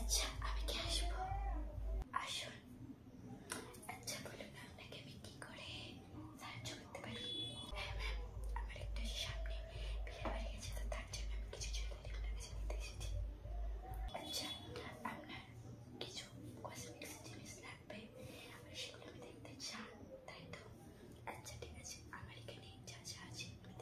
আচ্ছা আমি কি আসবো আসুন আচ্ছা বলুন আপনাকে আমি কি করে সাহায্য করতে পারি হ্যাঁ ম্যাম আমার একটা সামনে বিয়ে বাড়ি আছে তো তার জন্য আমি কিছু জুয়েলারি আপনার কাছে নিতে এসেছি আচ্ছা আপনার কিছু কসমেটিক্স জিনিস লাগবে সেগুলো আমি দেখতে চান তাই তো আচ্ছা ঠিক আছে আমার এখানে যা যা আছে আমি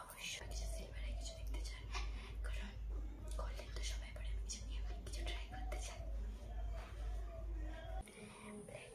অবশ্যই কিছু সিলভারের কিছু দেখতে চাই কারণ গোল্ডেন তো সবাই করে আমি কিছু নিয়ে কিছু ট্রাই করতে চাই black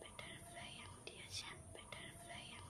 Butterfly and dear champ, butterfly and